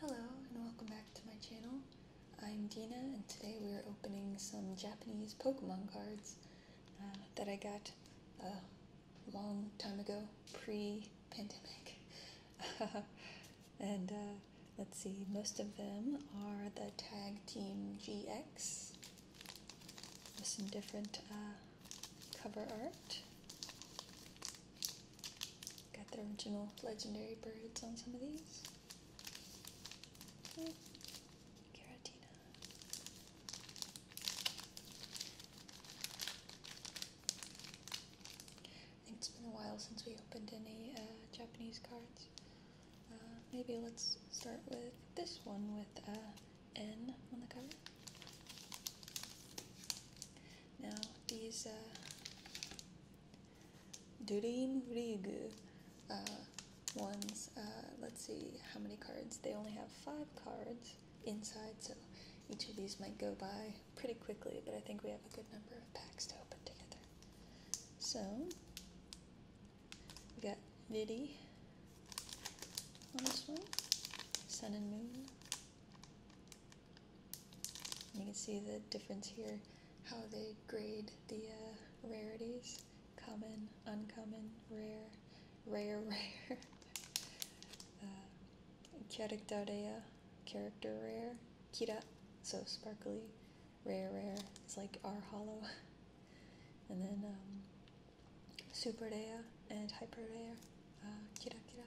Hello and welcome back to my channel. I'm Dina and today we're opening some Japanese Pokemon cards uh, that I got a long time ago, pre-pandemic. and uh, let's see, most of them are the Tag Team GX with some different uh, cover art. Got the original legendary birds on some of these. Oh, hmm. I think it's been a while since we opened any uh, Japanese cards. Uh, maybe let's start with this one with a uh, N N on the cover. Now, these uh, Durinrigu uh, ones. Uh, let's see how many cards. They only have five cards inside, so each of these might go by pretty quickly, but I think we have a good number of packs to open together. So, we got Vidi on this one, Sun and Moon, you can see the difference here, how they grade the uh, rarities. Common, uncommon, rare, rare, rare. uh, characteria, character rare. Kira, so sparkly. Rare, rare is like R hollow. and then um, super rare and hyper rare. Uh, kira, kira.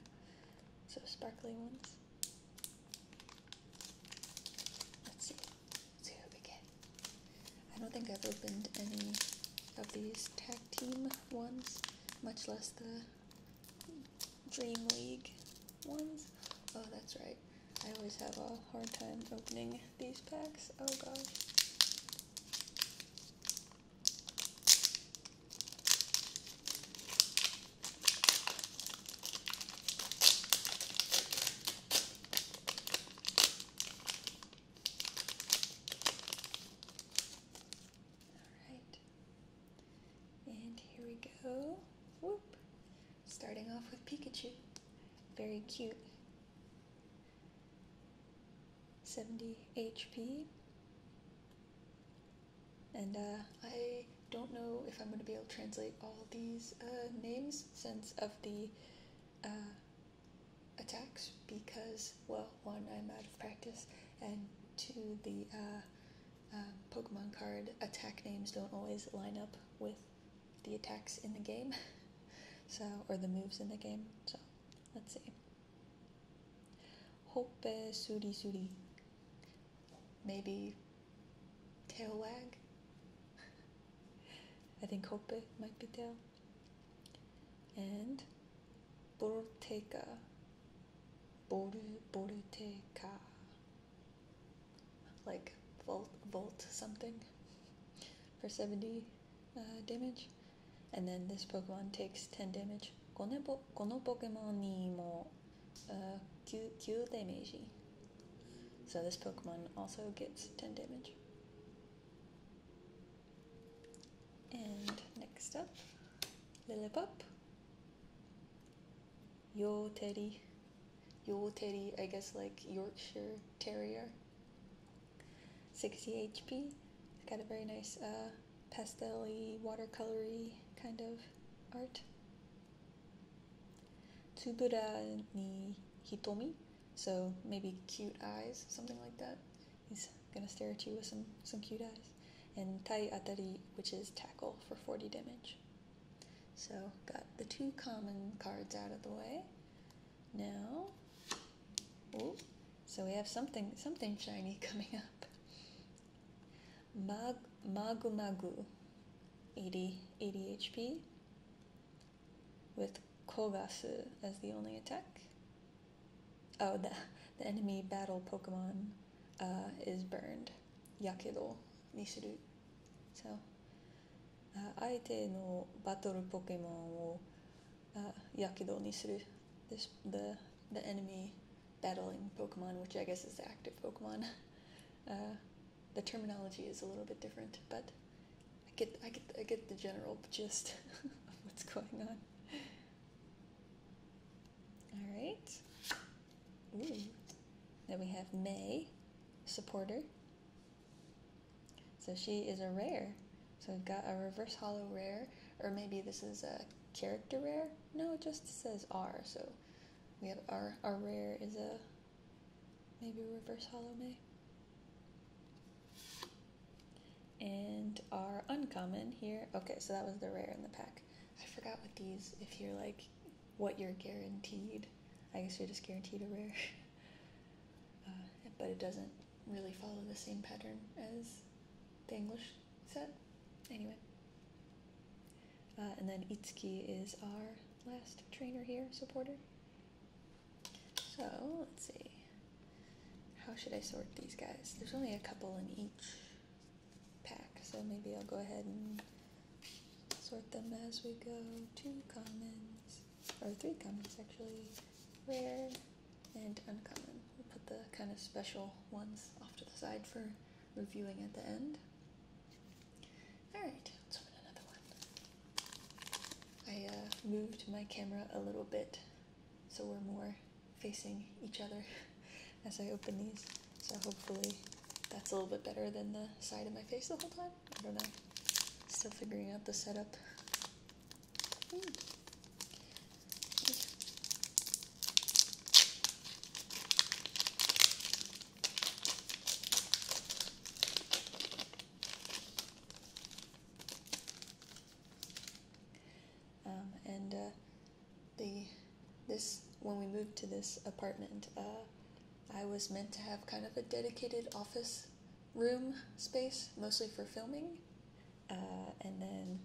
So sparkly ones. Let's see. see what we get. I don't think I've opened any of these tag team ones, much less the Dream League ones. Oh, that's right. I always have a hard time opening these packs. Oh gosh right. And here we go. Whoop. Starting off with Pikachu. Very cute. 70 HP. And uh, I don't know if I'm going to be able to translate all these uh, names since of the uh, attacks because, well, one, I'm out of practice, and two, the Pokemon card attack names don't always line up with the attacks in the game, so or the moves in the game. So let's see. Hope suri suri maybe tail wag. I think hope might be tail. And Borteca. Boru Borteca. Like volt volt something for 70 uh, damage. And then this Pokemon takes 10 damage. このポケモンにも uh, Kyu, Kyu Meiji. So this Pokemon also gets 10 damage. And next up, Lillipop. Yo Teddy. Yo Teddy, I guess like Yorkshire Terrier. 60 HP. It's got a very nice uh, pastel watercolory kind of art. Tsubura ni hitomi, so maybe cute eyes, something like that. He's gonna stare at you with some, some cute eyes. And tai atari, which is tackle for 40 damage. So got the two common cards out of the way. Now, ooh, so we have something something shiny coming up. Mag, Magu Magu 80, HP with Kogasu as the only attack. Oh, the, the enemy battle Pokemon uh, is burned. Yakedo Nisuru. So, uh, 相手のバトルポケモンを、uh, やけどにする this, the, the enemy battling Pokemon, which I guess is active Pokemon. Uh, the terminology is a little bit different, but I get I get I get the general gist of what's going on. All right. Ooh. Then we have May, supporter. So she is a rare. So we've got a reverse hollow rare, or maybe this is a character rare. No, it just says R, so we have our our rare is a maybe reverse hollow may. And our uncommon here. Okay, so that was the rare in the pack. I forgot what these if you're like what you're guaranteed. I guess you're just guaranteed a rare. Uh, but it doesn't really follow the same pattern as the English set. Anyway. Uh, and then Itsuki is our last trainer here, supporter. So let's see. How should I sort these guys? There's only a couple in each pack, so maybe I'll go ahead and sort them as we go. Two commons, or three commons actually, rare and uncommon. We'll put the kind of special ones off to the side for reviewing at the end. Alright, let's open another one. I uh, moved my camera a little bit so we're more facing each other as I open these. So hopefully that's a little bit better than the side of my face the whole time. I don't know. Still figuring out the setup. Um, and uh, the this when we moved to this apartment, uh, I was meant to have kind of a dedicated office room space, mostly for filming. Uh, and then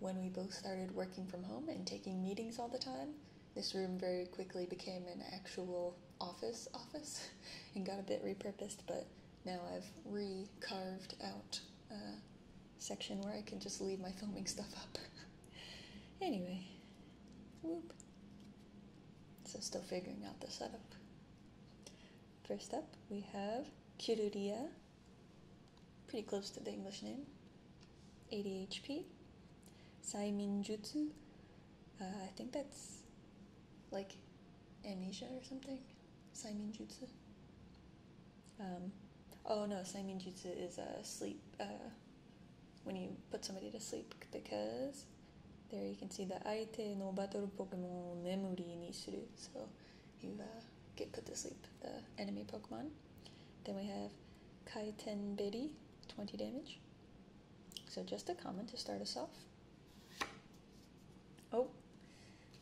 when we both started working from home and taking meetings all the time, this room very quickly became an actual office office and got a bit repurposed, but now I've recarved out a section where I can just leave my filming stuff up. anyway, So still figuring out the setup. First up, we have Kiruria, pretty close to the English name. ADHP, Saiminjutsu. Uh, I think that's like amnesia or something. Saiminjutsu. Um, oh no, Saiminjutsu is a sleep. Uh, when you put somebody to sleep because there you can see the Aite no Batoru Pokemon Memory Nisuru. So you uh, get put to sleep the enemy Pokemon. Then we have Kaiten Berry, 20 damage. So just a common to start us off. Oh,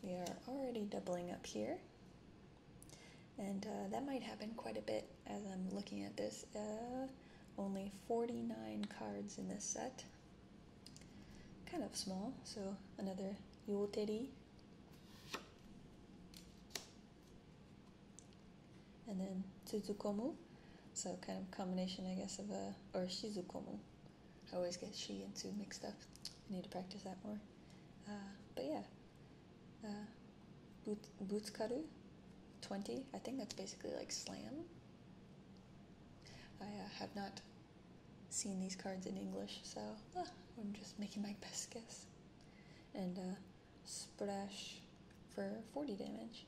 we are already doubling up here. And uh, that might happen quite a bit as I'm looking at this. Uh, only 49 cards in this set. Kind of small, so another Yulteri and then Tsuzukomu. So kind of combination, I guess, of a or Shizukomu. I always get shi and Tsu mixed up. I need to practice that more. Uh, but yeah, uh, but, twenty. I think that's basically like slam. I uh, have not seen these cards in English, so uh, I'm just making my best guess. And Splash for 40 damage.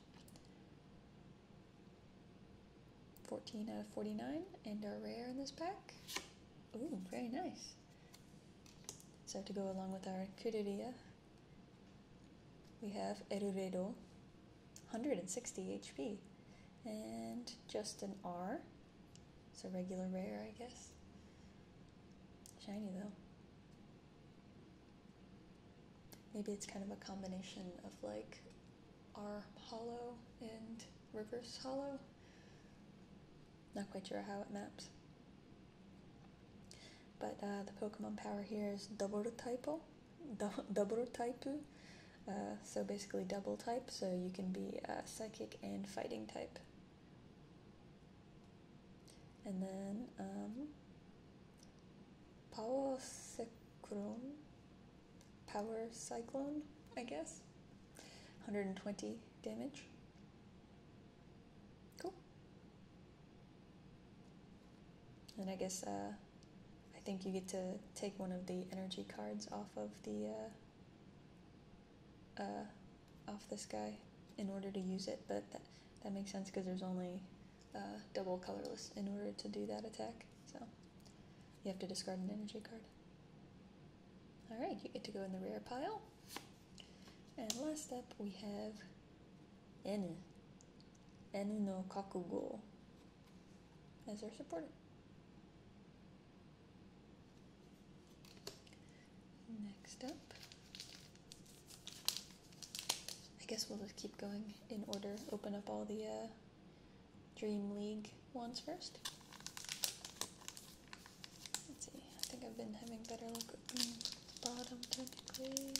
14 out of 49 and are rare in this pack. Ooh, very nice. So to go along with our Kururia, we have Eruredo, 160 HP, and just an R. So regular rare, I guess. Shiny though maybe it's kind of a combination of like R hollow and reverse hollow. Not quite sure how it maps. But uh, the Pokemon power here is double typo, double type. Uh, so basically double type, so you can be uh, psychic and fighting type. And then um, power cyclone, power cyclone, I guess. 120 damage. Cool. And I guess uh, I think you get to take one of the energy cards off of the uh, uh, off this guy in order to use it, but that, that makes sense because there's only uh, double colorless in order to do that attack. So you have to discard an energy card. Alright, you get to go in the rare pile. And last up we have Enu. Enu no Kakugo as our supporter. Next up I guess we'll just keep going in order, open up all the uh, Dream League ones first. Let's see, I think I've been having better luck opening the bottom technically.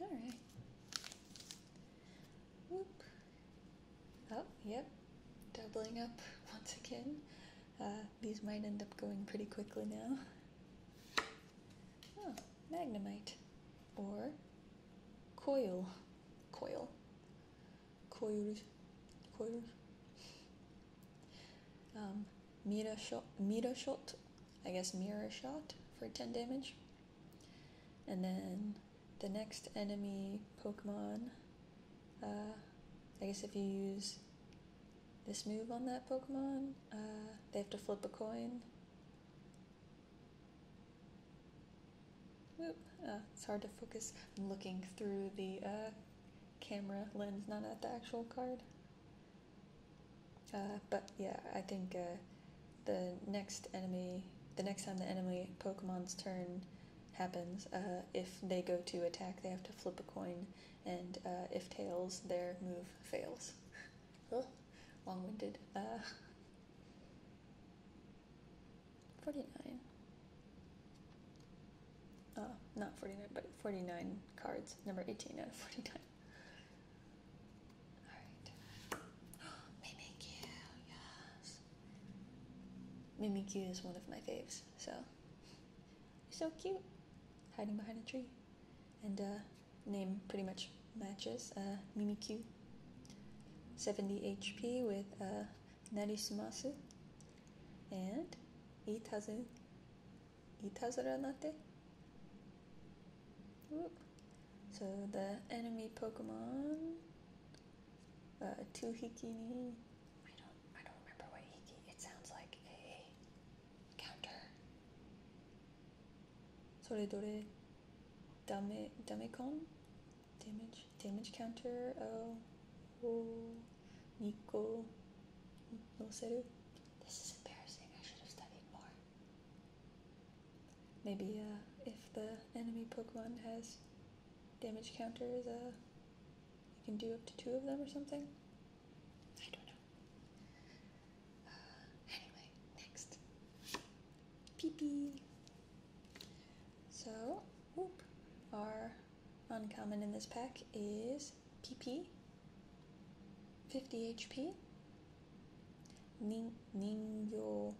All right. Whoop. Oh, yep. Doubling up once again. Uh, these might end up going pretty quickly now. Oh, magnemite. Or coil. Coil koyulur. koyulur. Um, Mira shot, Mira shot, I guess mirror shot for 10 damage. And then the next enemy Pokemon, uh, I guess if you use this move on that Pokemon, uh, they have to flip a coin. Whoop. Uh, it's hard to focus. I'm looking through the uh, camera lens, not at the actual card. Uh, but yeah, I think the next enemy, the next time the enemy Pokemon's turn happens, if they go to attack, they have to flip a coin, and if tails, their move fails. Long-winded. 49. Uh, not 49, but 49 cards. Number 18 out of 49. Alright. Mimikyu, yes. Mimikyu is one of my faves, so. So cute. Hiding behind a tree. And, uh, name pretty much matches. Uh, Mimikyu. 70 HP with, uh, Narisumasu and いたずいたずらなて So the enemy Pokemon uh, hikini. I don't I don't remember what hiki it sounds like a counter それどれダメダメコン damage damage counter oh, oh Nico no seru this is embarrassing I should have studied more maybe uh, if the enemy Pokemon has damage counters uh you can do up to two of them or something I don't know uh, anyway next pee so whoop our Uncommon in this pack is PP, 50 HP, Nin, Ningyo,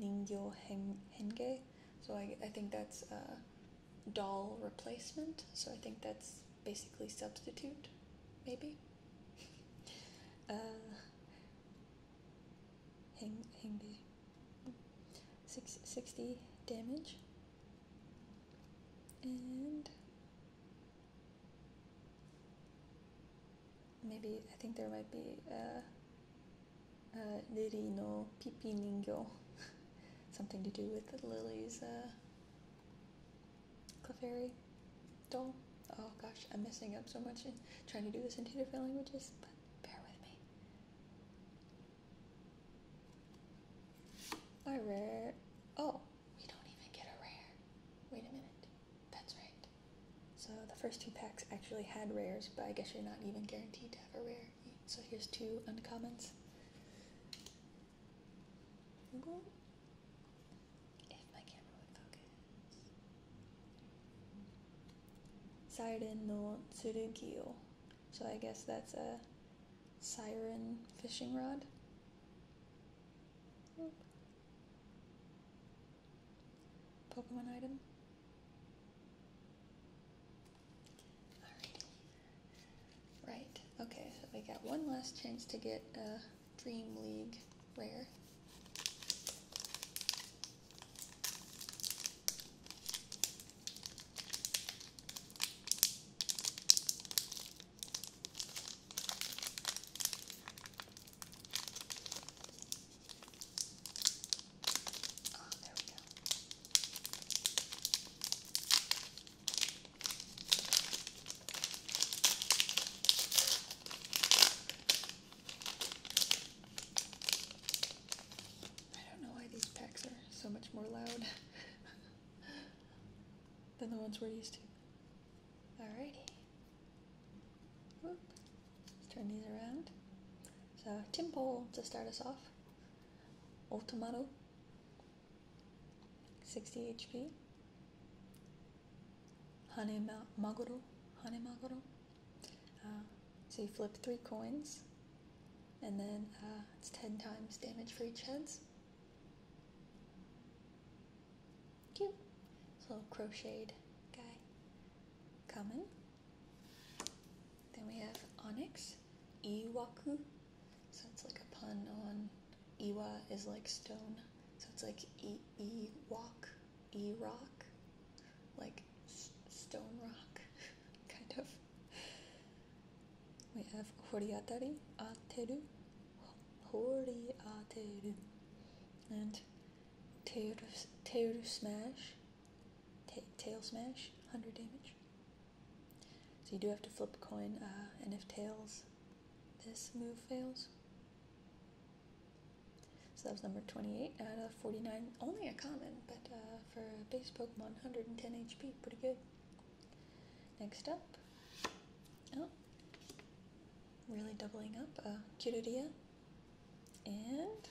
Ningyo Hen, Henge. So I, I think that's a doll replacement. So I think that's basically substitute, maybe. uh, Henge six, 60 damage. And maybe I think there might be a, a lily no pipi ningyo, something to do with the lily's uh, Clefairy doll. Oh gosh, I'm messing up so much and trying to do this in two different languages, but bear with me. Our rare. Oh, we don't even get a rare. Wait a minute. That's right. So the first two packs actually had rares, but I guess you're not even guaranteed to have a rare. So here's two uncommons. If my camera would focus. Siren no Tsurugio. So I guess that's a siren fishing rod. Pokemon item. Right, okay, so I got one last chance to get a Dream League rare. Oh, there we go. I don't know why these packs are so much more loud than the ones we're used to. Alrighty. Whoop. Let's turn these around. So Timpole to start us off. Ultimato. 60 HP. Hane Maguro. Hane Maguro. Uh, so you flip three coins, and then uh, it's 10 times damage for each heads. Cute. little crocheted guy Common. Then we have Onyx, Iwaku. So it's like a pun on Iwa is like stone. So it's like E, e walk, E rock, like stone rock, kind of. We have horiatari ataru, hori ateru, and tail, tail smash, tail smash, 100 damage. So you do have to flip a coin, uh, and if tails, this move fails. So that was number 28 out of 49. Only a common, but uh, for a base Pokemon, 110 HP, pretty good. Next up, oh, really doubling up, uh, Cudidia, and,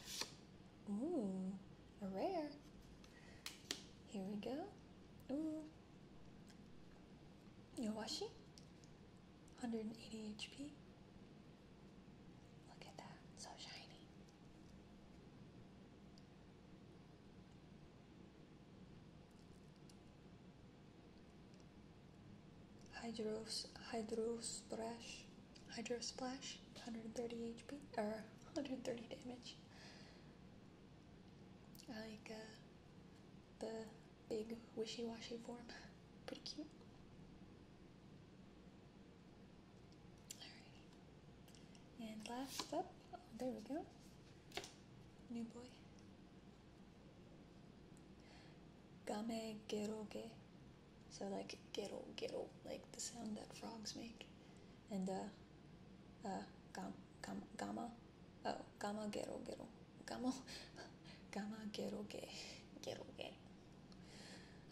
ooh, a rare. Here we go. Ooh, Yowashi, 180 HP. Look at that, so shiny. Hydros, Splash, Hydrosplash, Splash, 130 HP, or 130 damage. I like uh, the big wishy-washy form, pretty cute. Alrighty. And last up, oh, there we go. New boy. Game geroge. So like gero gero, like the sound that frogs make. And uh uh gam, gam, gamma. Oh, gamma gero gero. Gamma gamma geroge. Geroge.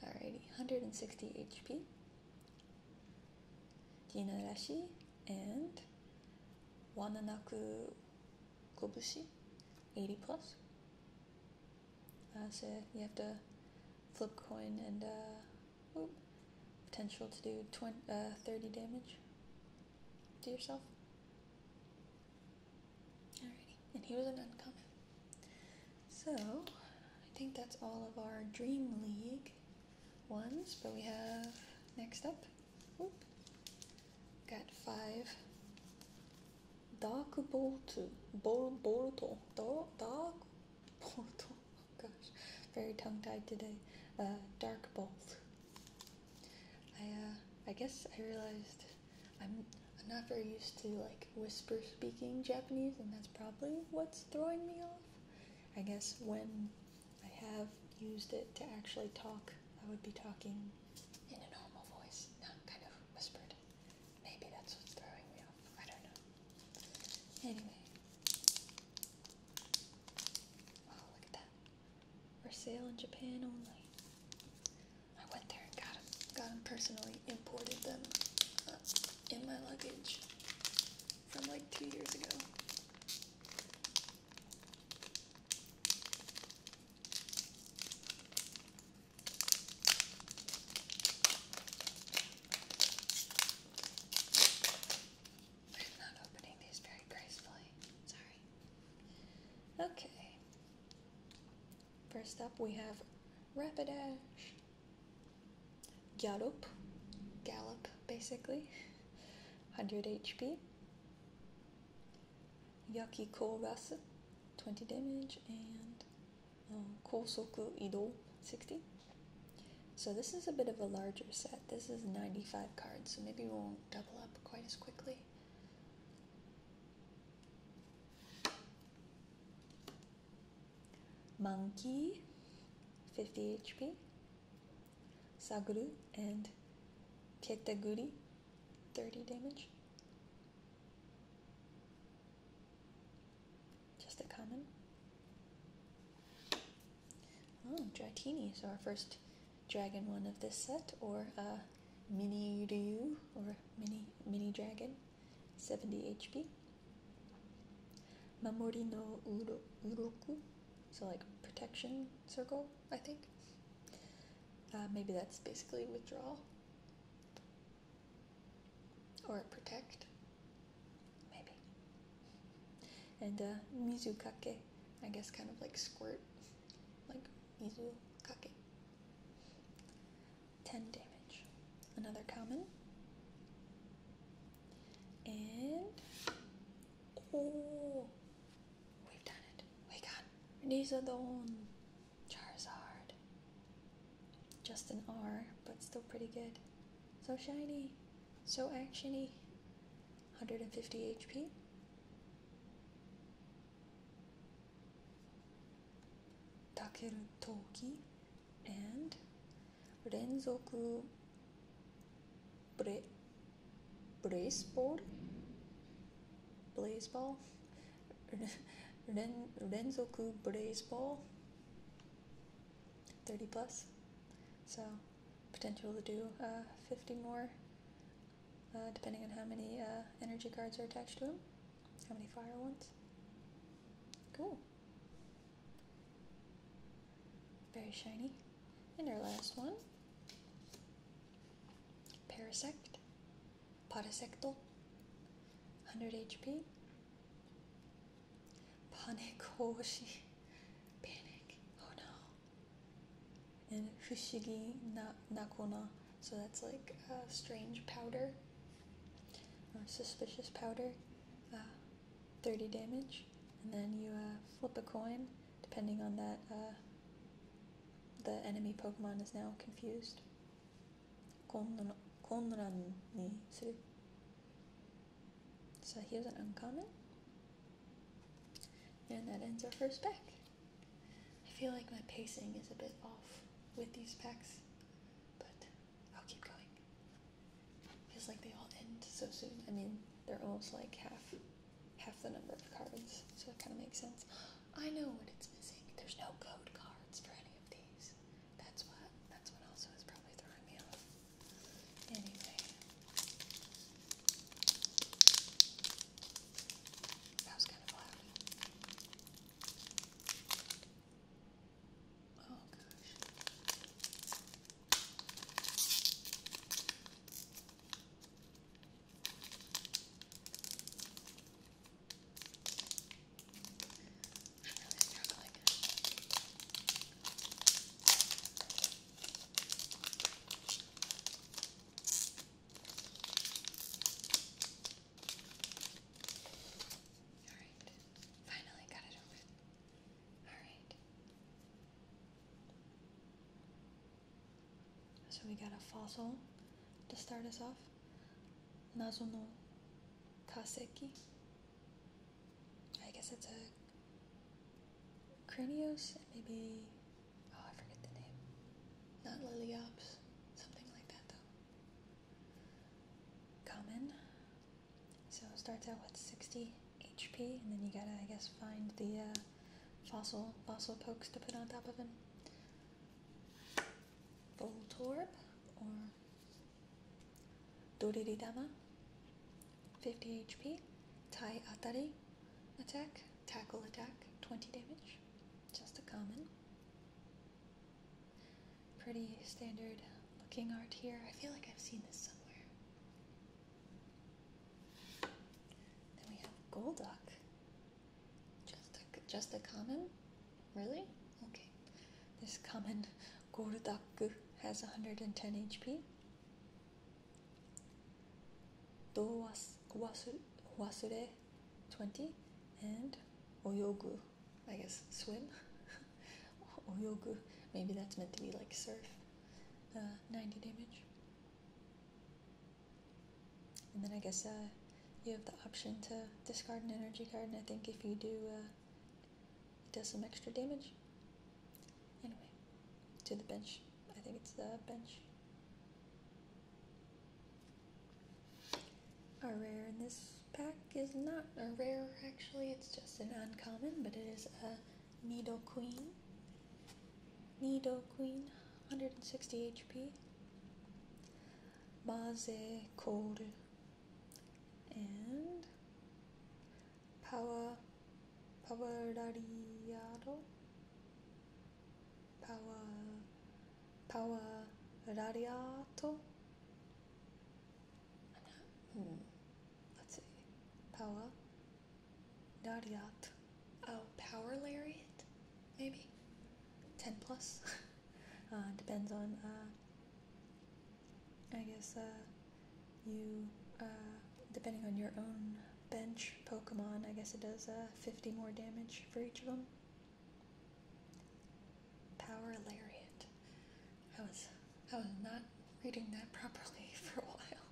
Alrighty, 160 HP. Tinarashi and Wananaku Kobushi, 80 plus. Uh, so you have to flip coin and uh, potential to do uh, 30 damage to yourself. Alrighty, and he was an uncommon. So, I think that's all of our Dream League ones, but we have next up. got five. Dark Bolt, Bor Boruto, Dark Boruto. Oh gosh, very tongue-tied today. Uh, Dark Bolt. I uh, I guess I realized I'm not very used to like whisper speaking Japanese, and that's probably what's throwing me off. I guess when I have used it to actually talk, I would be talking in a normal voice, not kind of whispered. Maybe that's what's throwing me off. I don't know. Anyway. Oh, look at that. For sale in Japan only. I went there and got them, got them personally, imported them uh, in my luggage from like two years ago. I'm not opening these very gracefully. Sorry. Okay. First up, we have Rapidash gallop, gallop basically, 100 HP, Yakiko Rasa, 20 damage, and um, Kosoku Ido, 60. So this is a bit of a larger set. This is 95 cards, so maybe we won't double up quite as quickly. Monkey, 50 HP. Saguru and Pietaguri, 30 damage. Just a common. Oh, Dratini, so our first dragon one of this set, or uh, Mini Ryu, or Mini, mini Dragon, 70 HP. Memori no Uroku, so like protection circle, I think. Uh, maybe that's basically withdrawal or protect, maybe. And uh, mizu kake, I guess kind of like squirt, like mizu kake. 10 damage. Another common. And oh, we've done it. We got Nizadon Charizard. Just an R, but still pretty good. So shiny, so actiony. 150 HP. Takeru Toki and Renzoku. Renzoku 連続ブレブレイスボールブレイスボール連連続ブレイスボール30 plus so potential to do uh, 50 more uh, depending on how many uh, energy cards are attached to them how many fire ones cool very shiny. And our last one. Parasect. Parasectal. 100 HP. Panic Panic. Oh no. And Fushigi na Nakona. So that's like a strange powder. Or uh, suspicious powder. Uh, 30 damage, and then you uh, flip a coin, depending on that. Uh, the enemy Pokemon is now confused. Konran ni So he was an uncommon. And that ends our first pack. I feel like my pacing is a bit off with these packs, but I'll keep going. Feels like they all end so soon. I mean, they're almost like half half the number of cards, so it kind of makes sense. I know what it's missing. There's no code cards for any of these. That's what that's what also is probably throwing me off. Anyway. That was kind of loud. Oh gosh. I'm really struggling. Alright, finally got it over. Alright. So we got a fossil to start us off. Nazo no Kaseki. I guess it's a cranius and maybe oh I forget the name. Not Liliops. Something like that though. Common. So it starts out with 60 HP, and then you gotta, I guess, find the uh, fossil fossil pokes to put on top of him. Voltorb or Doriridama, 50 HP. Tai Atari attack, tackle attack, 20 damage. Just a common. Pretty standard looking art here. I feel like I've seen this somewhere. Then we have Golduck. Just a, just a common? Really? Okay. This common Golduck has 110 HP. Do wasure 20 and oyogu, I guess swim. or Maybe that's meant to be like surf. Uh, 90 damage. And then I guess uh, you have the option to discard an energy card, and I think if you do, uh, it does some extra damage. Anyway, to the bench. I think it's the bench. A rare in this pack is not a rare, actually, it's just an uncommon, but it is a Needle Queen. Needle Queen, 160 HP. Maze kore And Power. Power Rariado. Power. Power Rariato. hmm, let's see, Paula, Nadiat, oh, Power Lariat, maybe, 10 plus, uh, depends on, uh, I guess, uh, you, uh, depending on your own bench Pokemon, I guess it does, uh, 50 more damage for each of them. Power Lariat. I was I was not reading that properly for a while.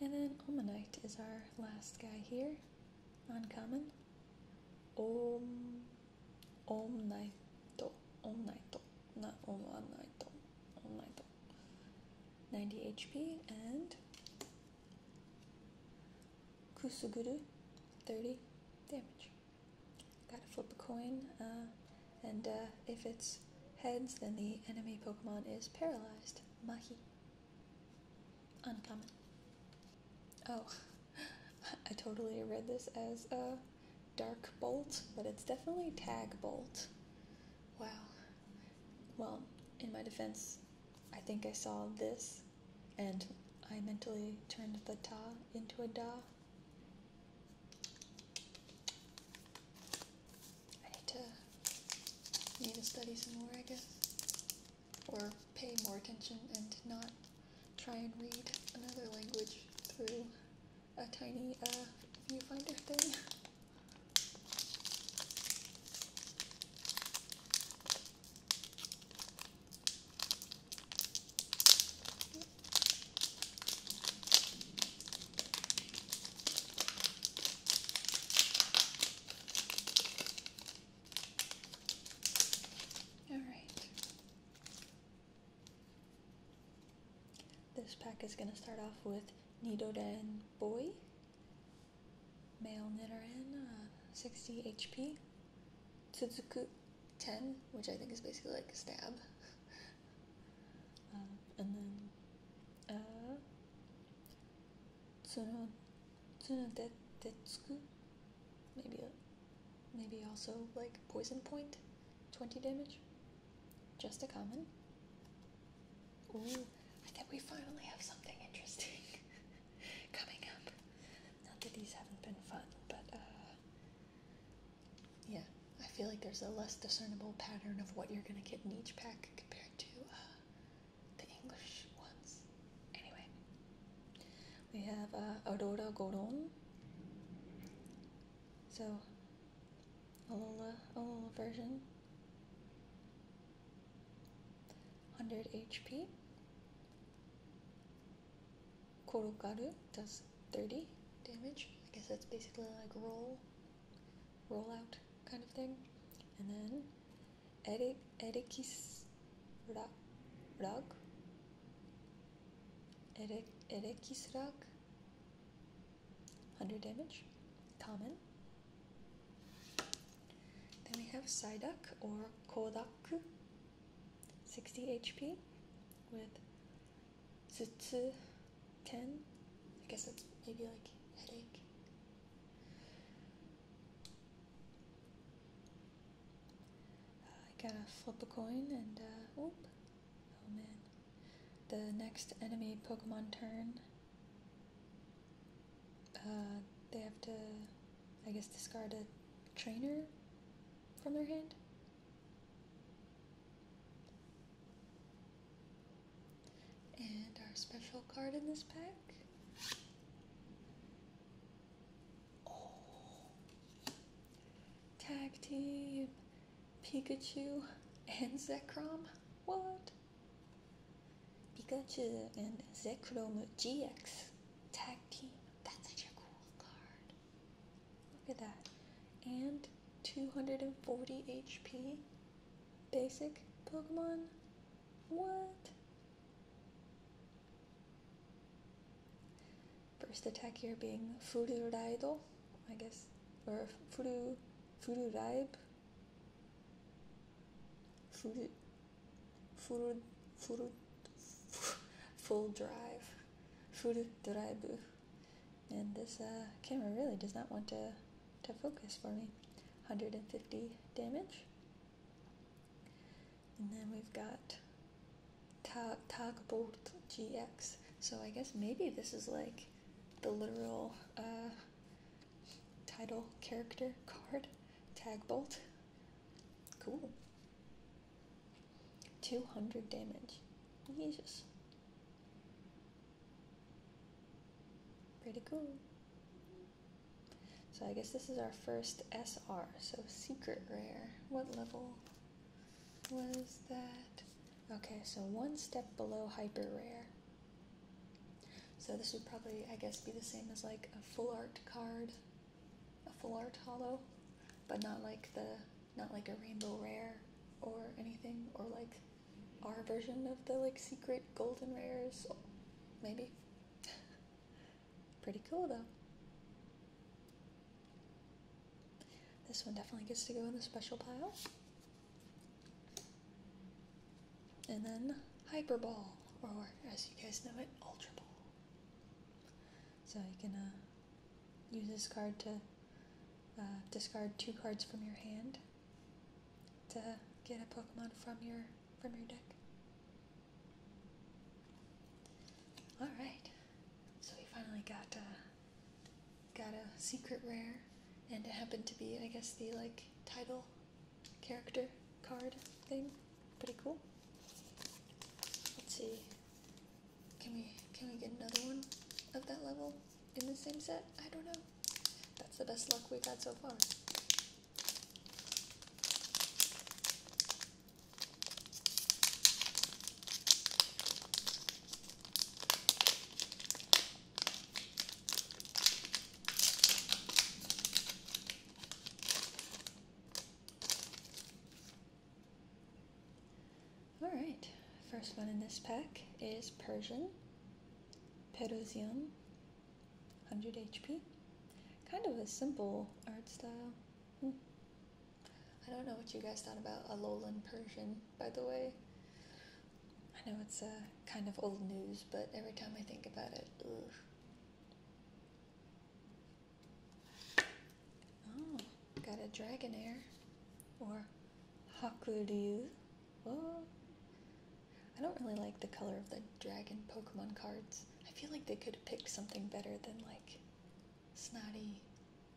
And then Omanite is our last guy here. Uncommon. Om Om Naito. Not Om Naito. 90 HP and Kusuguru 30 damage. Gotta flip a coin, uh, and uh, if it's heads, then the enemy Pokemon is paralyzed. Mahi. Uncommon. Oh, I totally read this as a dark bolt, but it's definitely tag bolt. Wow. Well, in my defense, I think I saw this and I mentally turned the ta into a da I need to need to study some more, I guess, or pay more attention and not try and read another language through a tiny uh, viewfinder thing. All right. This pack is going to start off with Nidoden Boy, male Nidoran, uh, 60 HP, Suzuku 10, which I think is basically like a stab. Uh, and then uh, そのそのででつく maybe uh, maybe also like poison point 20 damage just a common ooh I think we finally have something interesting coming up not that these haven't been fun but uh yeah, I feel like there's a less discernible pattern of what you're gonna get in each pack compared to uh, the English ones. Anyway, we have uh, Aurora Goron. So, a little uh, version. 100 HP. Korokaru does 30 damage. I guess that's basically like roll, roll out kind of thing. And then Eric, Erikis rock. Rag? Eric, rock. 100 damage, common. Then we have Psyduck or Kodak, 60 HP with Two, ten. I guess that's maybe like headache. Uh, I gotta flip a coin and uh, oop. Oh man. The next enemy Pokemon turn. Uh, they have to, I guess, discard a trainer from their hand. And our special card in this pack. Oh. Tag team. Pikachu and Zekrom. What? Pikachu and Zekrom GX tag team. That's such a cool card. Look at that. And 240 HP? Basic Pokemon? What? First attack here being Fururaido, I guess, or Furu, Fururaib? Furu, Furu, Furu, Full Drive, Fururaibu. And this uh, camera really does not want to, to focus for me. 150 damage. And then we've got Tag Bolt GX. So I guess maybe this is like the literal uh, title character card, Tag Bolt. Cool. 200 damage. Jesus. Pretty cool. So I guess this is our first SR, so secret rare. What level was that? Okay, so one step below hyper rare. So this would probably, I guess, be the same as like a full art card, a full art hollow, but not like the not like a rainbow rare or anything, or like our version of the like secret golden rares, maybe. Pretty cool though. This one definitely gets to go in the special pile. And then Hyper Ball, or as you guys know it, Ultra Ball. So you can uh, Use this card to uh, discard two cards from your hand to get a Pokemon from your from your deck. All right, so we finally got a, uh, got a secret rare, and it happened to be, I guess, the like title character card thing. Pretty cool. Let's see. Can we can we get another one of that level? in the same set. I don't know. That's the best luck we've had so far. Alright, first one in this pack is Persian, Perusian, 100 HP. Kind of a simple art style. Hmm. I don't know what you guys thought about a Lowland Persian, by the way. I know it's uh, kind of old news, but every time I think about it, Oh, got a dragon air, or Hakuryu. Whoa. I don't really like the color of the dragon Pokemon cards. I feel like they could have picked something better than like snotty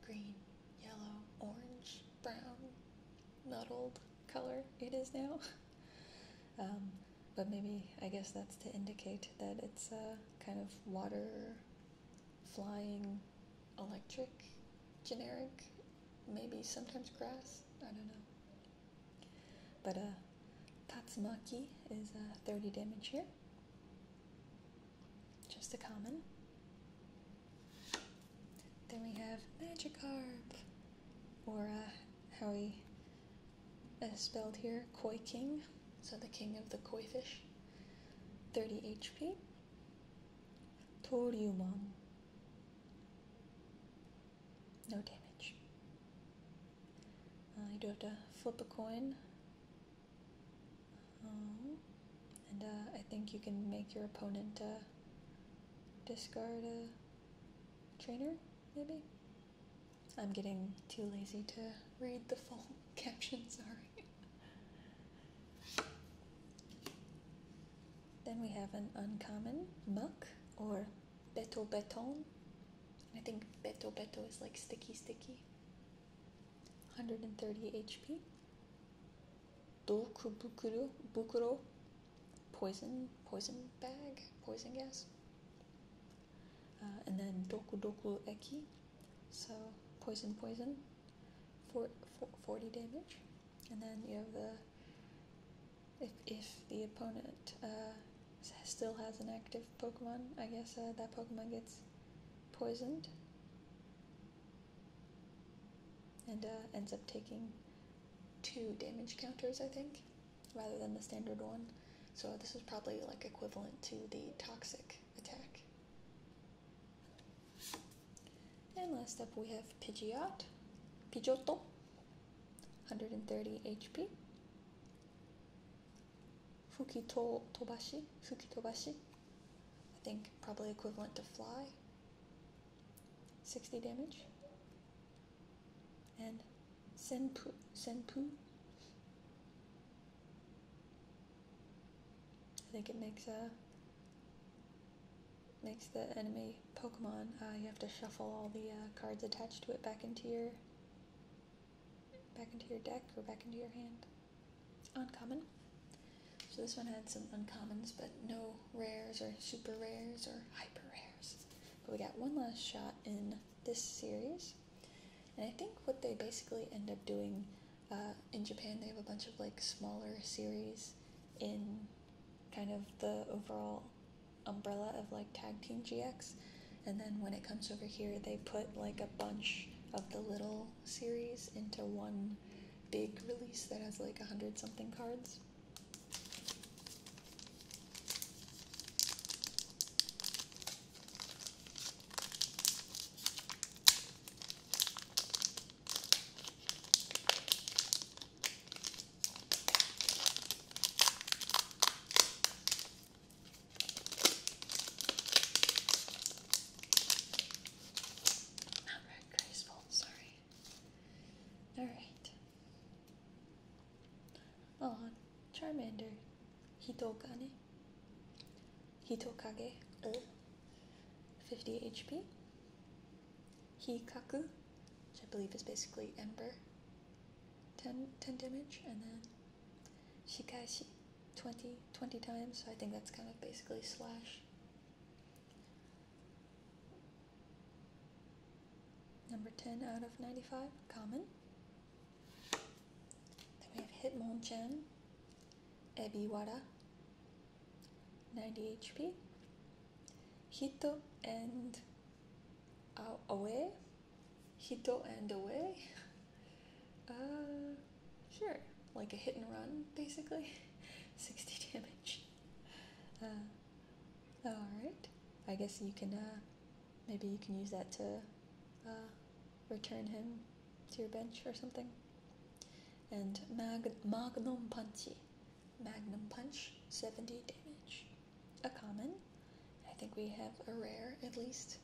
green, yellow, orange, brown, mottled color it is now. Um, but maybe I guess that's to indicate that it's a uh, kind of water flying electric generic, maybe sometimes grass, I don't know. But uh, Tatsumaki is a uh, 30 damage here. Just a common. Then we have Magikarp, or uh, how we spelled here, Koi King, so the king of the koi fish. 30 HP. Toriumon, no damage. Uh, you do have to flip a coin. Uh, and uh, I think you can make your opponent discard a trainer, maybe? I'm getting too lazy to read the full caption, sorry. Then we have an uncommon, muck, or beto beton. I think beto beto is like sticky sticky. 130 HP. Doku bukuro, bukuro, poison, poison bag, poison gas. Uh, and then doku doku eki, so poison poison, for, 40 damage and then you have the if if the opponent uh, still has an active Pokemon, I guess uh, that Pokemon gets poisoned and uh, ends up taking two damage counters, I think, rather than the standard one. So this is probably like equivalent to the toxic attack. And last up we have Pidgeot, Pidgeotto, 130 HP. Fukito Tobashi, Fukitobashi, I think probably equivalent to Fly, 60 damage. And Senpu, Senpu, I think it makes a makes the enemy Pokemon, uh, you have to shuffle all the uh, cards attached to it back into your back into your deck or back into your hand. Uncommon. So this one had some uncommons, but no rares or super rares or hyper rares. But we got one last shot in this series, and I think what they basically end up doing uh, in Japan, they have a bunch of like smaller series in kind of the overall umbrella of like tag team GX. And then when it comes over here, they put like a bunch of the little series into one big release that has like a hundred something cards. Not red graceful, sorry. Alright. On oh, Charmander. Hitokane. Hitokage. Uh. 50 HP. Hikaku, which I believe is basically Ember, 10, damage, and then Shikashi, 20, 20 times, so I think that's kind of basically slash. Number 10 out of 95, common. Then we have Hitmonchan, Ebiwara, 90 HP, Hito and away. Hito and away. Uh, sure, like a hit and run, basically. 60 damage. Uh, Alright, I guess you can, uh, maybe you can use that to uh, return him to your bench or something. And mag- Magnum Punchy. Magnum Punch, 70 damage. A common. I think we have a rare at least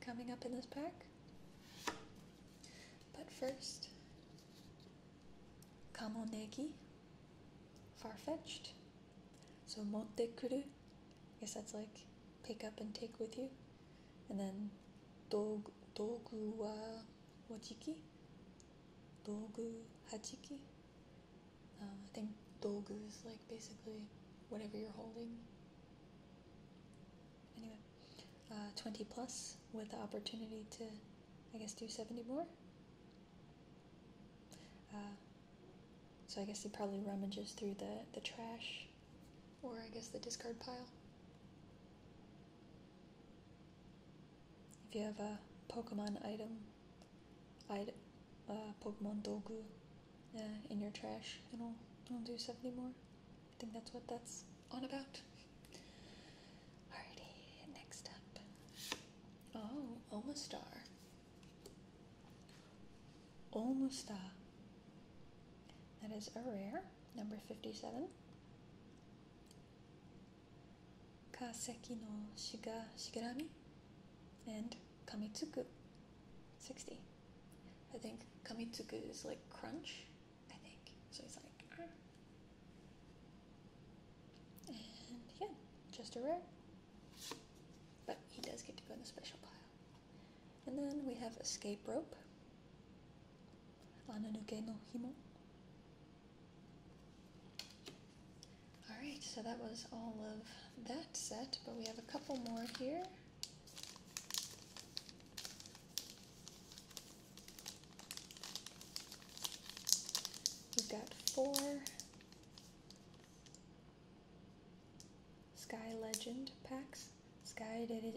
coming up in this pack. But first, Kamonegi, far-fetched. So Monte Kuru, I guess that's like pick up and take with you. And then Dog Dogu wa dogu hachiki. Uh, I think dogu is like basically whatever you're holding. Anyway, uh, 20 plus with the opportunity to, I guess, do 70 more. Uh, so I guess he probably rummages through the, the trash or I guess the discard pile. If you have a Pokemon item, item uh, Pokemon Dogu uh, in your trash, it'll, it'll do 70 more. I think that's what that's on about. Alrighty, next up. Oh, Omastar. Omastar. That is a rare, number 57. Kaseki no Shiga Shigarami and Kamitsuku 60. I think Kamitsuku is like crunch, I think. So it's like and yeah, just a rare. But he does get to go in the special pile. And then we have Escape Rope, Ananuke no Himo, Alright, so that was all of that set, but we have a couple more here. We've got four Sky Legend packs. Sky, de,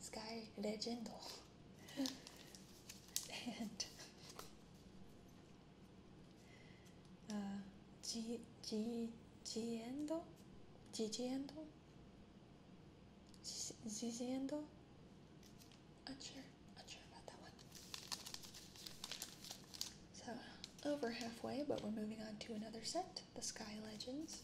Sky Legendo and uh, G G Giendo, Gigiendo, Gigiendo. Unsure, unsure about that one. So over halfway, but we're moving on to another set, the Sky Legends.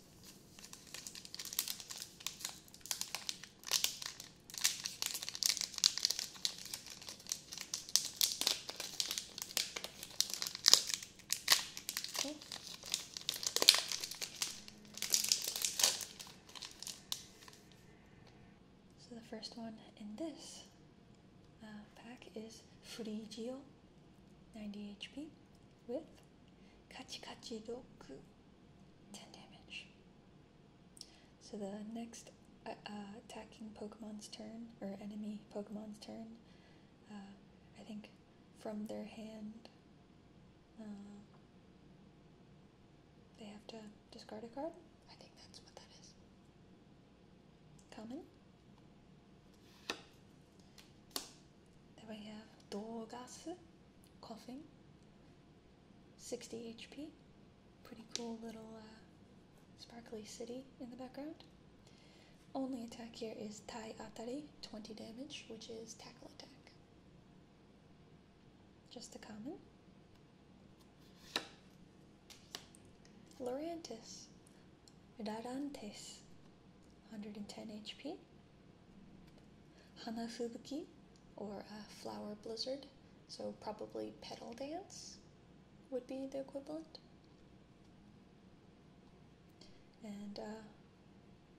So the first one in this uh, pack is Frigio 90 HP with Kachikachi Doku 10 damage. So the next uh, uh, attacking Pokemon's turn, or enemy Pokemon's turn, uh, I think from their hand, they have to discard a card. I think that's what that is. Common. Then we have Dogasu, coughing. 60 HP. Pretty cool little uh, sparkly city in the background. Only attack here is Tai Atari, 20 damage, which is tackle attack. Just a common. Laurentis, Rarantes, 110 HP. Hanafubuki, or a uh, Flower Blizzard, so probably pedal dance would be the equivalent. And uh,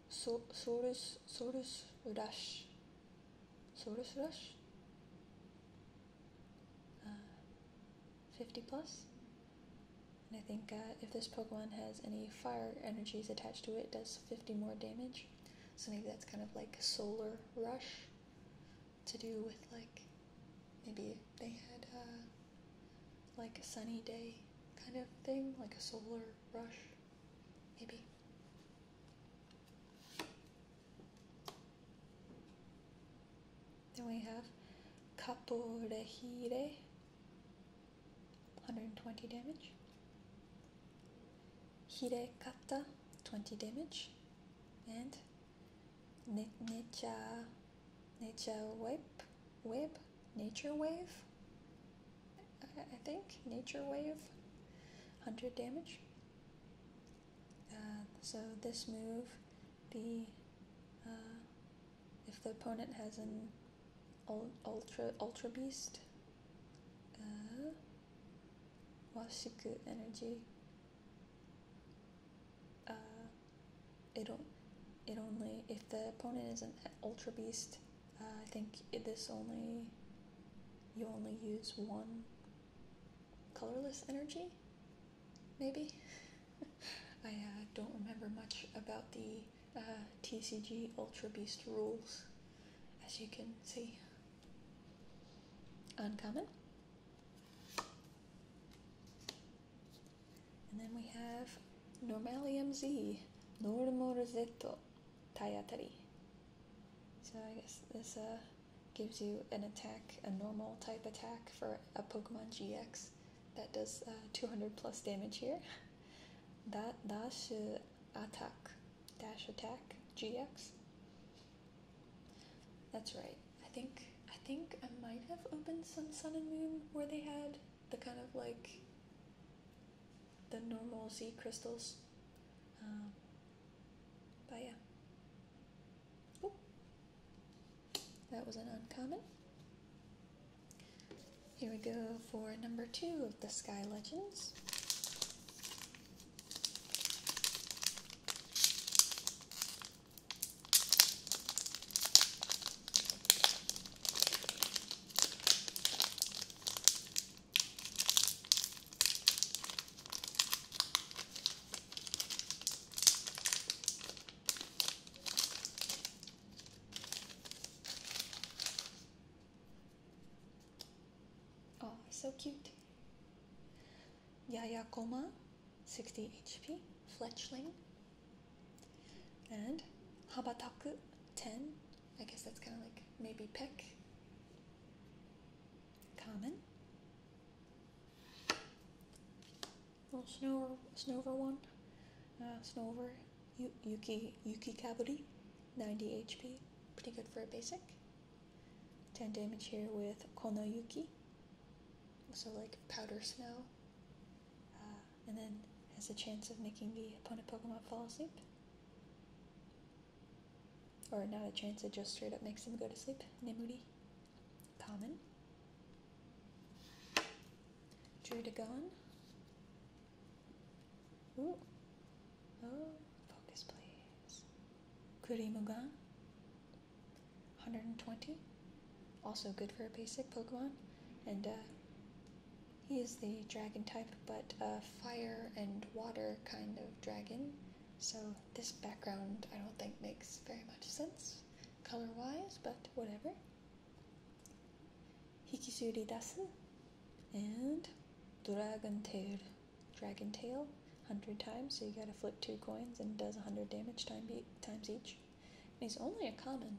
so, Sorus, Sorus Rush. Sorus Rush? Uh, 50 plus? I think uh, if this Pokemon has any fire energies attached to it does 50 more damage. So maybe that's kind of like a solar rush to do with like maybe they had a, uh, like a sunny day kind of thing, like a solar rush, maybe. Then we have Kaporehire, 120 damage. Hirekata, 20 damage, and nature, nature wave, wave, nature wave, I, think, nature wave, 100 damage. Uh, so this move, the uh, if the opponent has an ultra ultra beast, uh, வாஷிக்கு energy uh, it, it only if the opponent is an ultra beast uh, I think this only you only use one colorless energy maybe I uh, don't remember much about the uh, TCG ultra beast rules as you can see. Uncommon. And then we have Normalium Z, Normorosetto Tayatari. So I guess this uh, gives you an attack, a normal type attack for a Pokemon GX that does uh, 200 plus damage here. That should attack dash attack GX. That's right. I think I think I might have opened some Sun and Moon where they had the kind of like the normal Z crystals. Um, but yeah. that was an uncommon. Here we go for number two of the Sky Legends. Oh, so cute. Yaya Koma, 60 HP, Fletchling, and Habataku, 10. I guess that's kind of like maybe Peck. Common. Little Snover, Snover one. Uh, Yuki, Yuki Kaburi, 90 HP. Pretty good for a basic. 10 damage here with Konoyuki, Also like Powder Snow, uh, and then has a chance of making the opponent Pokemon fall asleep. Or not a chance, it just straight up makes them go to sleep. Nemuri. Common. Druidagon. Oh, focus please. Kuri Mugan. 120. Also good for a basic Pokemon. And uh, he is the dragon type, but a fire and water kind of dragon. So this background I don't think makes very much sense color wise, but whatever. Hikisuri Dasu and Dragon Tail. Dragon Tail, 100 times, so you gotta flip two coins and it does 100 damage time be times each. And he's only a common.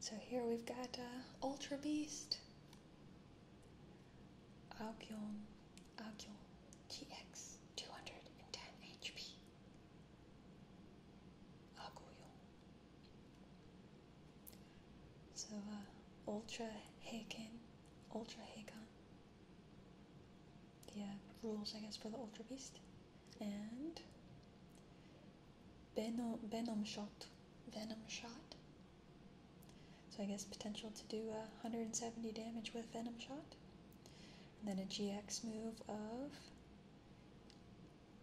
So here we've got uh, Ultra Beast. Aokyon, Aokyon, GX. 210 HP. Aguyo. So, uh, Ultra Heiken, Ultra Heikan. Yeah, uh, rules, I guess, for the Ultra Beast. And Venom, Venom Shot. Venom Shot. So I guess potential to do uh, 170 damage with Venom Shot. And then a GX move of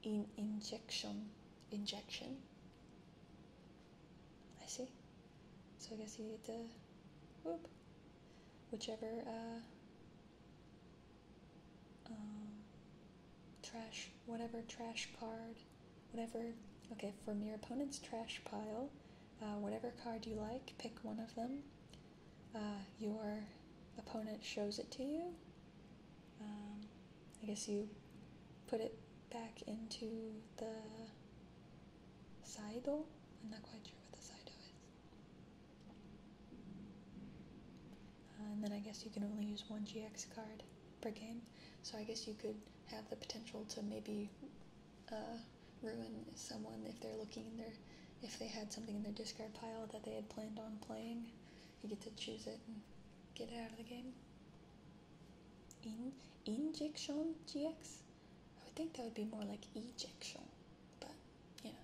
in injection. Injection. I see. So I guess you need to whoop. Whichever uh, um, trash, whatever trash card, whatever. Okay, from your opponent's trash pile, uh, whatever card you like, pick one of them uh, your opponent shows it to you, um, I guess you put it back into the saido. I'm not quite sure what the saido is. Uh, and then I guess you can only use one GX card per game, so I guess you could have the potential to maybe uh, ruin someone if they're looking in their if they had something in their discard pile that they had planned on playing. You get to choose it and get out of the game. In injection GX? I would think that would be more like ejection, but yeah.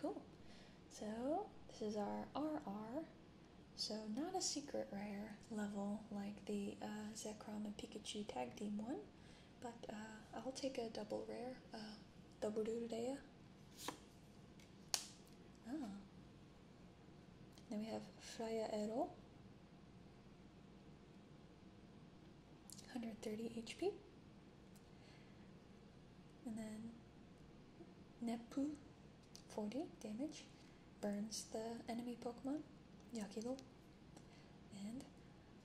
Cool. So this is our RR. So not a secret rare level like the uh, and Pikachu tag team one, but uh, I'll take a double rare, uh, double doodadea. Ah. Then we have Freya Ero. 130 HP. And then Nepu, 40 damage, burns the enemy Pokemon, Yakilo. And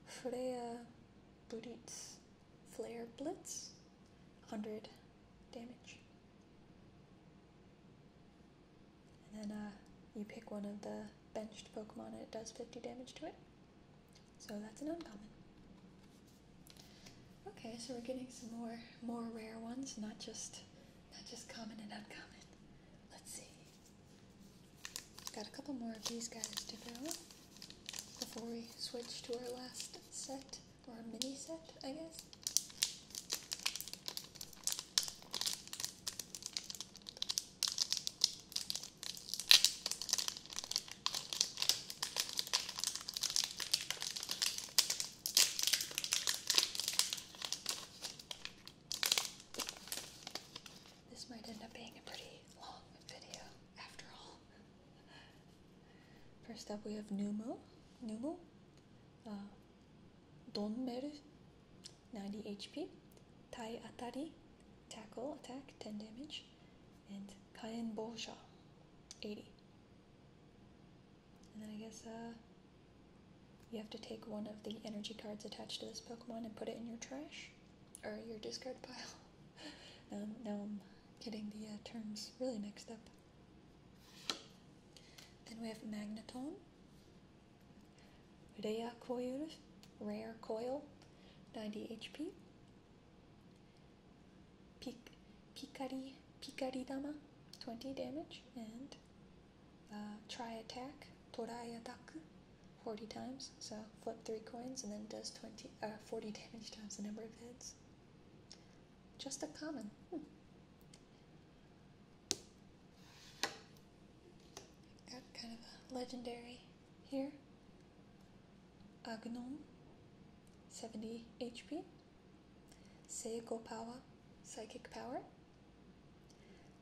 Freya Buritz, Flare Blitz, 100 damage. And then uh, you pick one of the benched Pokemon and it does 50 damage to it. So that's an uncommon. Okay, so we're getting some more more rare ones, not just not just common and uncommon. Let's see. Got a couple more of these guys to go before we switch to our last set, or mini set, I guess. This might end up being a pretty long video after all. First up, we have Numo. Numo. Uh, Donmeru. 90 HP. Tai Atari. Tackle attack, 10 damage. And Kaien Bolsha. 80. And then I guess uh, you have to take one of the energy cards attached to this Pokemon and put it in your trash or your discard pile. Um, now, I'm getting the uh, terms really mixed up. Then we have Magneton, Rare Coil, 90 HP, Pic Picari, Picaridama, 20 damage, and uh, Try Attack, Torai Ataku, 40 times, so flip 3 coins and then does 20, uh, 40 damage times the number of heads. Just a common. Hmm. Got kind of a legendary here. Agnon, 70 HP. Seiko Power, Psychic Power.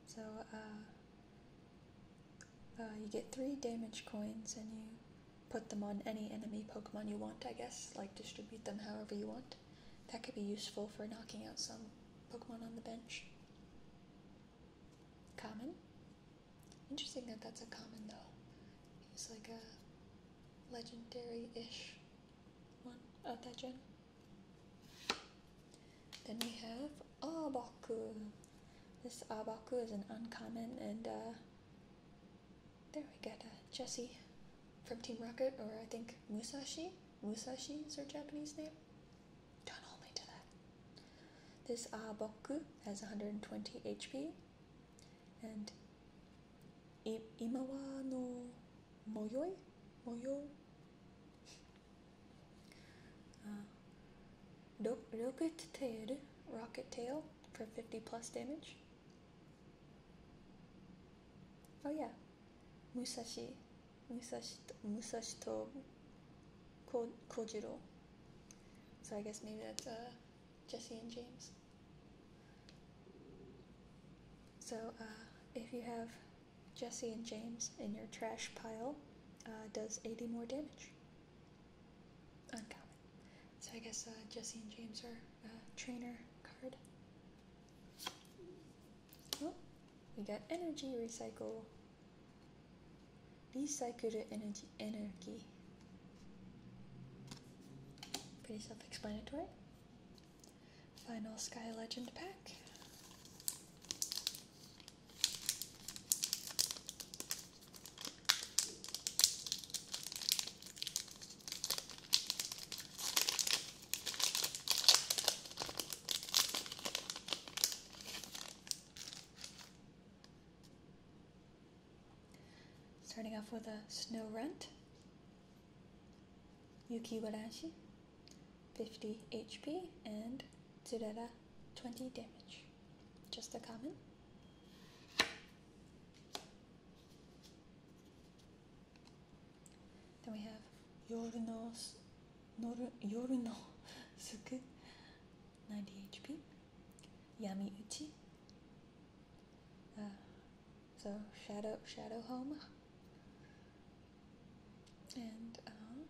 So, uh, uh, you get three damage coins and you put them on any enemy Pokemon you want, I guess. Like, distribute them however you want. That could be useful for knocking out some Pokemon on the bench. Common. Interesting that that's a common, though. It's like a legendary ish one of that gen. Then we have Abaku. This Abaku is an uncommon, and uh, there we got uh, Jesse from Team Rocket, or I think Musashi. Musashi is her Japanese name. Don't hold me to that. This Abaku has 120 HP, and I Imawa no Moyoi? Moyo? Uh, Rocket Tail, Rocket Tail for 50 plus damage. Oh yeah, Musashi, Musashi, Musashi to Kojiro. So I guess maybe that's uh, Jesse and James. So uh, if you have Jesse and James in your trash pile, uh, does 80 more damage. Uncommon. So I guess uh, Jesse and James are uh, trainer card. Oh, we got energy recycle. Recycle the energy energy. Pretty self-explanatory. Final Sky Legend pack. Starting off with a snow runt, Yuki Warashi, 50 HP, and Zedera, 20 damage. Just a comment? Then we have Yorinos Yorino Suku 90 HP Yami Uchi uh, so Shadow Shadow Home and um,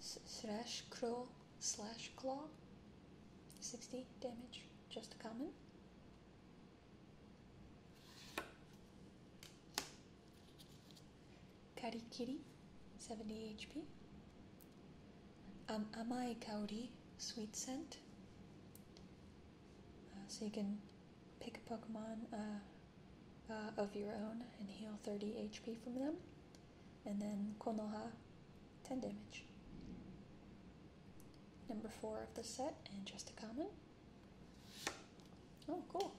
Slash claw, slash claw. 60 damage, just a common. Karikiri, 70 HP. Um, Amai Kaori, sweet scent. Uh, so you can pick a Pokemon uh, uh, of your own and heal 30 HP from them and then Konoha, 10 damage. Number 4 of the set, and just a common. Oh, cool.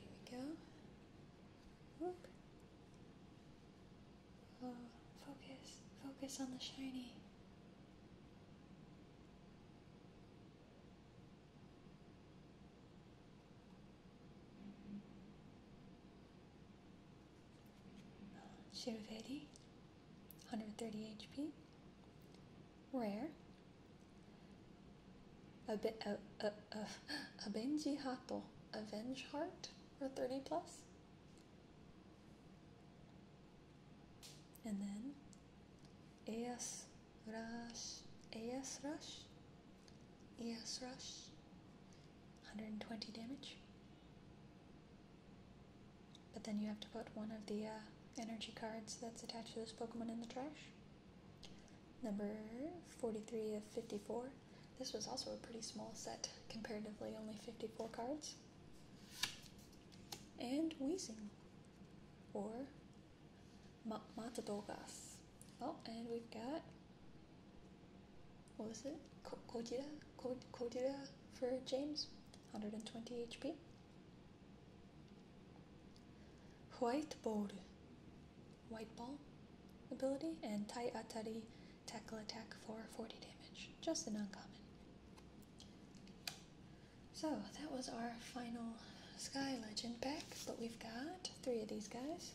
Here we go. Oh, focus. Focus on the shiny. Cerveri, 130 HP, rare, a, be, a, a, a, a Benji Hato, Avenge Heart, or 30 plus. And then AS Rush, AS Rush, Yes, Rush, 120 damage. But then you have to put one of the uh, energy cards that's attached to this Pokemon in the trash. Number 43 of 54. This was also a pretty small set, comparatively only 54 cards. And wheezing. or Ma Matadogas. Oh, and we've got, what was it? Kodira, Kodira for James, 120 HP. White Ball, White Ball ability, and Tai Atari Tackle Attack for 40 damage. Just an uncommon. So that was our final Sky Legend pack, but we've got three of these guys.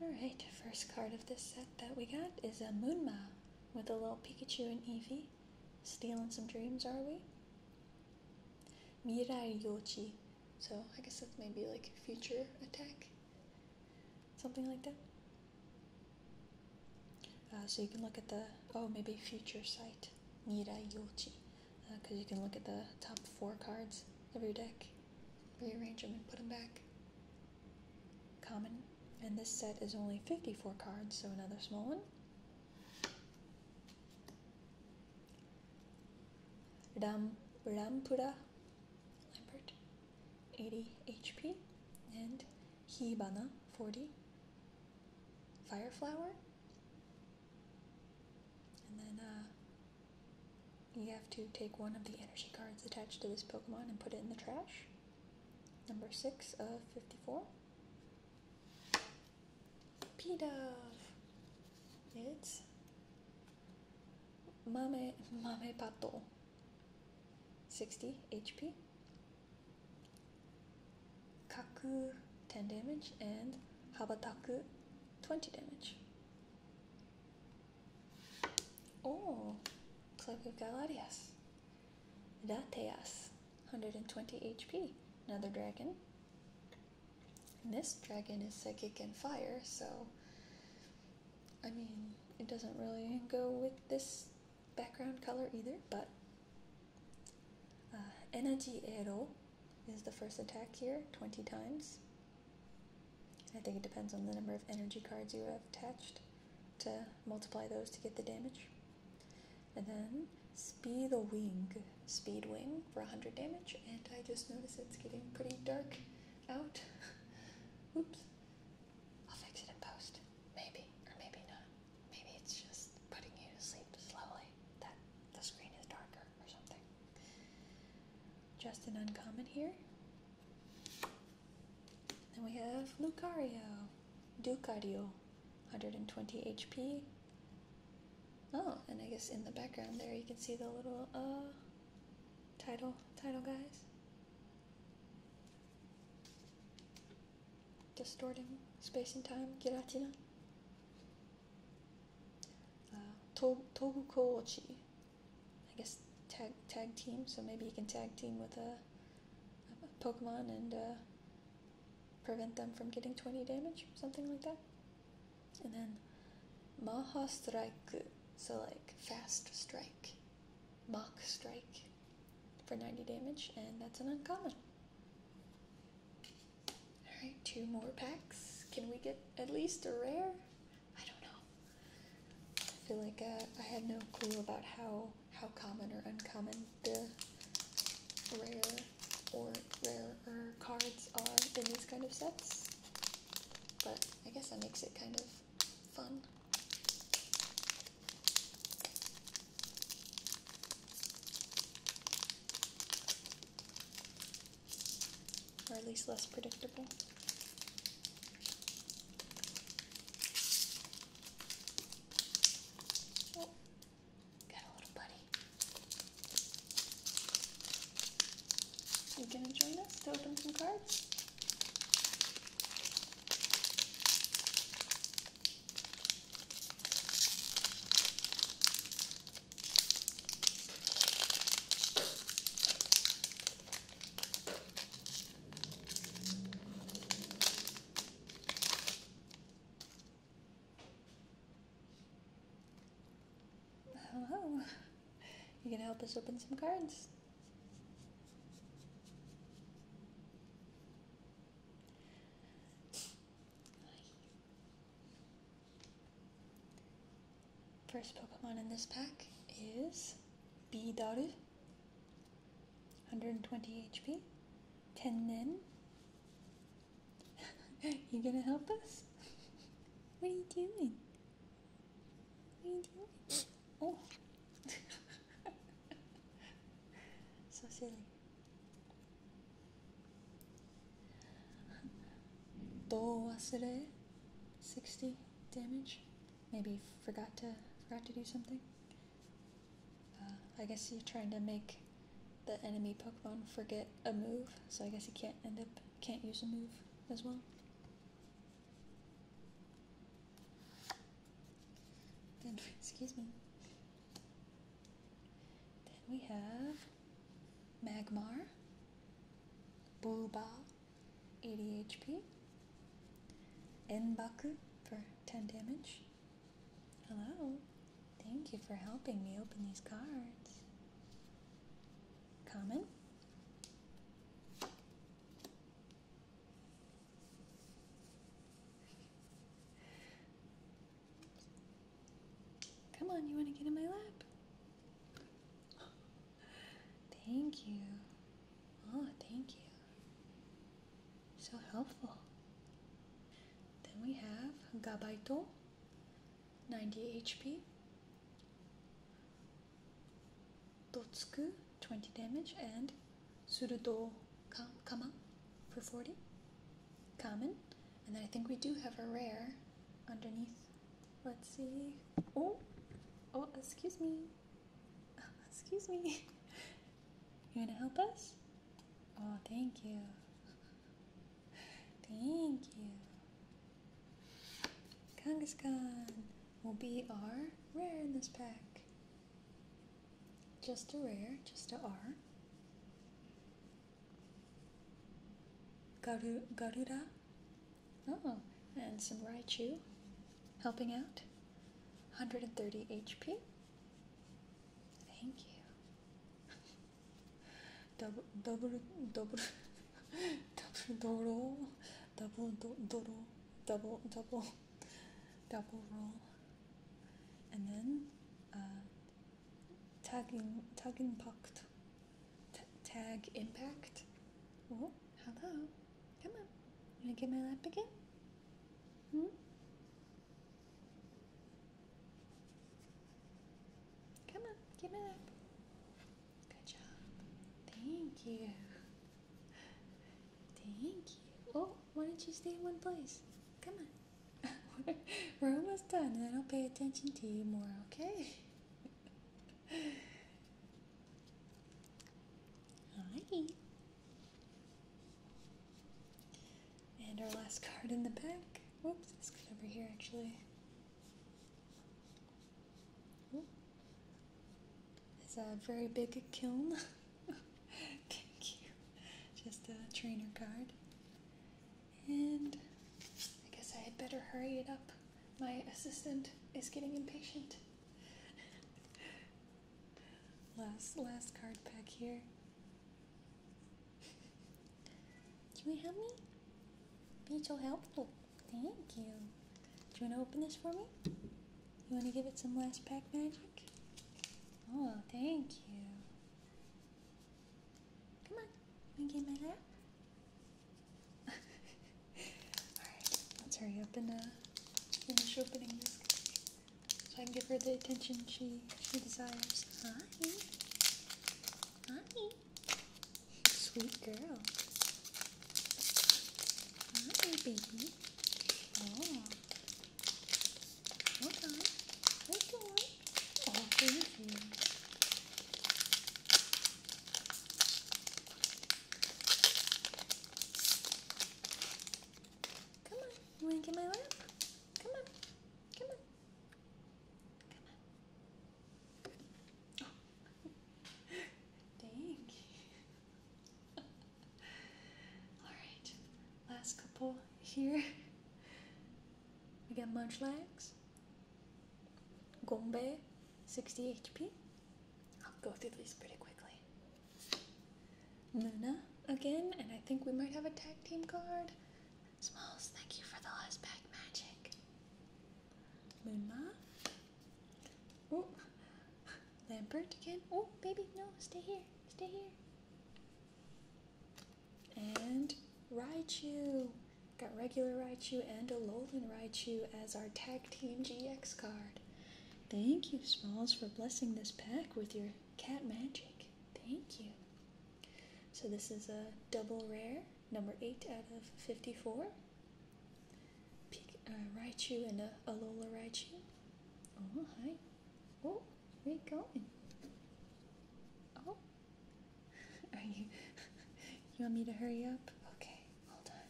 Alright, first card of this set that we got is a Moonma with a little Pikachu and Evie Stealing some dreams, are we? Mirai Yochi so I guess that's maybe like future attack, something like that. Uh, so you can look at the oh maybe future site Nira Yochi, because uh, you can look at the top four cards of your deck, rearrange them and put them back. Common, and this set is only 54 cards, so another small one. Ram Rampura Lambert 80 HP and Hibana 40 Fireflower and then uh, you have to take one of the energy cards attached to this Pokemon and put it in the trash. Number 6 of 54. P-Dove. It's Mame, mame pato. 60 HP. Kaku 10 damage and Habataku 20 damage. Oh, we've got Galarias. Dateas 120 HP. Another dragon. This dragon is psychic and fire, so I mean, it doesn't really go with this background color either, but uh, Energy arrow is the first attack here, 20 times. I think it depends on the number of energy cards you have attached to multiply those to get the damage. And then Speed Wing, Speed Wing for 100 damage, and I just notice it's getting pretty dark out. Oops. I'll fix it in post. Maybe, or maybe not. Maybe it's just putting you to sleep slowly, that the screen is darker or something. Just an uncommon here. And we have Lucario. Lucario, 120 HP. Oh, and I guess in the background there you can see the little uh Title, title guys. Distorting space and time, giratina. Uh, to Tobu I guess tag tag team, so maybe you can tag team with a, Pokemon and uh, prevent them from getting 20 damage, or something like that. And then Maha Strike, so like fast strike, mock strike for 90 damage, and that's an uncommon. Alright, two more packs. Can we get at least a rare? I don't know. I feel like uh, I had no clue about how, how common or uncommon the rare or rare cards are in these kind of sets. But I guess that makes it kind of fun. Or at least less predictable. Oh, got a little buddy. You gonna join us to open some cards? Hello. Oh. You gonna help us open some cards? First Pokemon in this pack is Bidaru, 120 HP, Tennen. you gonna help us? what are you doing? oh so silly do wasere 60 damage maybe forgot to forgot to do something uh, I guess you're trying to make the enemy Pokemon forget a move so I guess you can't end up can't use a move as well. Then, excuse me. Then we have Magmar, Bulba, 80 HP, Enbaku for 10 damage. Hello, thank you for helping me open these cards common. Come on, you want to get in my lap? Thank you. Oh, thank you. So helpful. Then we have Gabaito, 90 HP. Dotsku, 20 damage and Surudo Kama for 40. Common. And then I think we do have a rare underneath. Let's see. Oh! Oh, excuse me. excuse me. You want to help us? Oh, thank you. Thank you. Kangaskhan will be our rare in this pack. Just a rare, just a R. Garu Garuda. Oh, and some Raichu helping out. 130 HP. Thank you. Dobr, dobr, dobr, double doodle, double do double double, double roll, and then uh, tag in, tag impact, T tag impact. hello, come on, you wanna get my lap again? Hmm. Come on, give me that. Good job. Thank you. Thank you. Oh, why don't you stay in one place? Come on. We're almost done, and then I'll pay attention to you more, okay? Alrighty. And our last card in the back. Whoops, let's over here actually. Hmm? It's a very big kiln. Thank you. Just a trainer card. And I guess I had better hurry it up. My assistant is getting impatient. last last card pack here. Can you help me? Be so helpful. Thank you. Do you want to open this for me? You want to give it some last pack magic? Oh, thank you. Come on. Want to my lap? Alright, let's hurry up and uh, finish opening this so I can give her the attention she, she desires. Hi. Sweet girl. Hi, baby. Oh. Hold on. Hold on. Oh, thank Come on. You want to get my lap? Come on. Come on. Come on. Dang. Alright, last couple here. We got Munchlax, Gombe, 60 HP. I'll go through these pretty quickly. Luna again, and I think we might have a tag team card. Smalls, thank you for the last pack magic. Moonma. Oh, Lambert again. Oh, baby, no, stay here, stay here. And Raichu. Got regular Raichu and a Alolan Raichu as our Tag Team GX card. Thank you, Smalls, for blessing this pack with your cat magic. Thank you. So this is a double rare number 8 out of 54. Pick, uh, Raichu and a uh, Alola Raichu. Oh, hi. Oh, where you going? Oh. Are you... you want me to hurry up? Okay, hold on.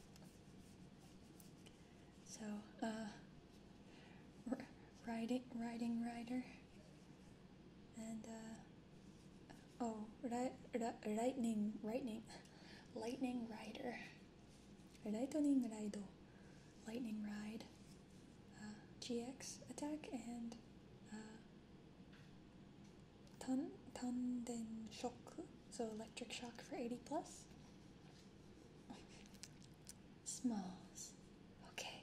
So, uh... riding, riding rider. And, uh... Oh, ri- ri- lightning, lightning, lightning rider, lightning rider, lightning ride, uh, GX attack and uh, ton tonden shock, so electric shock for eighty plus. Smalls, okay.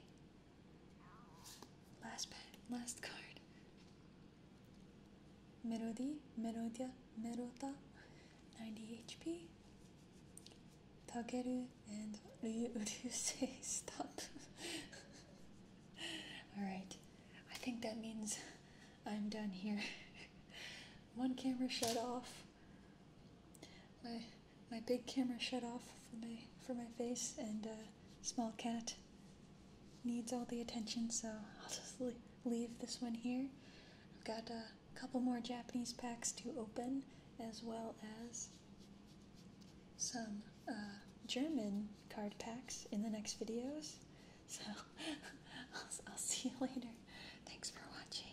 Last pet, last card. Melody, Melodia, Merota, 90 HP. Takeru and do you say stop. Alright, I think that means I'm done here. One camera shut off. My my big camera shut off for my for my face and small cat needs all the attention, so I'll just leave this one here. I've got a couple more Japanese packs to open, as well as some uh, German card packs in the next videos. So I'll, I'll see you later. Thanks for watching.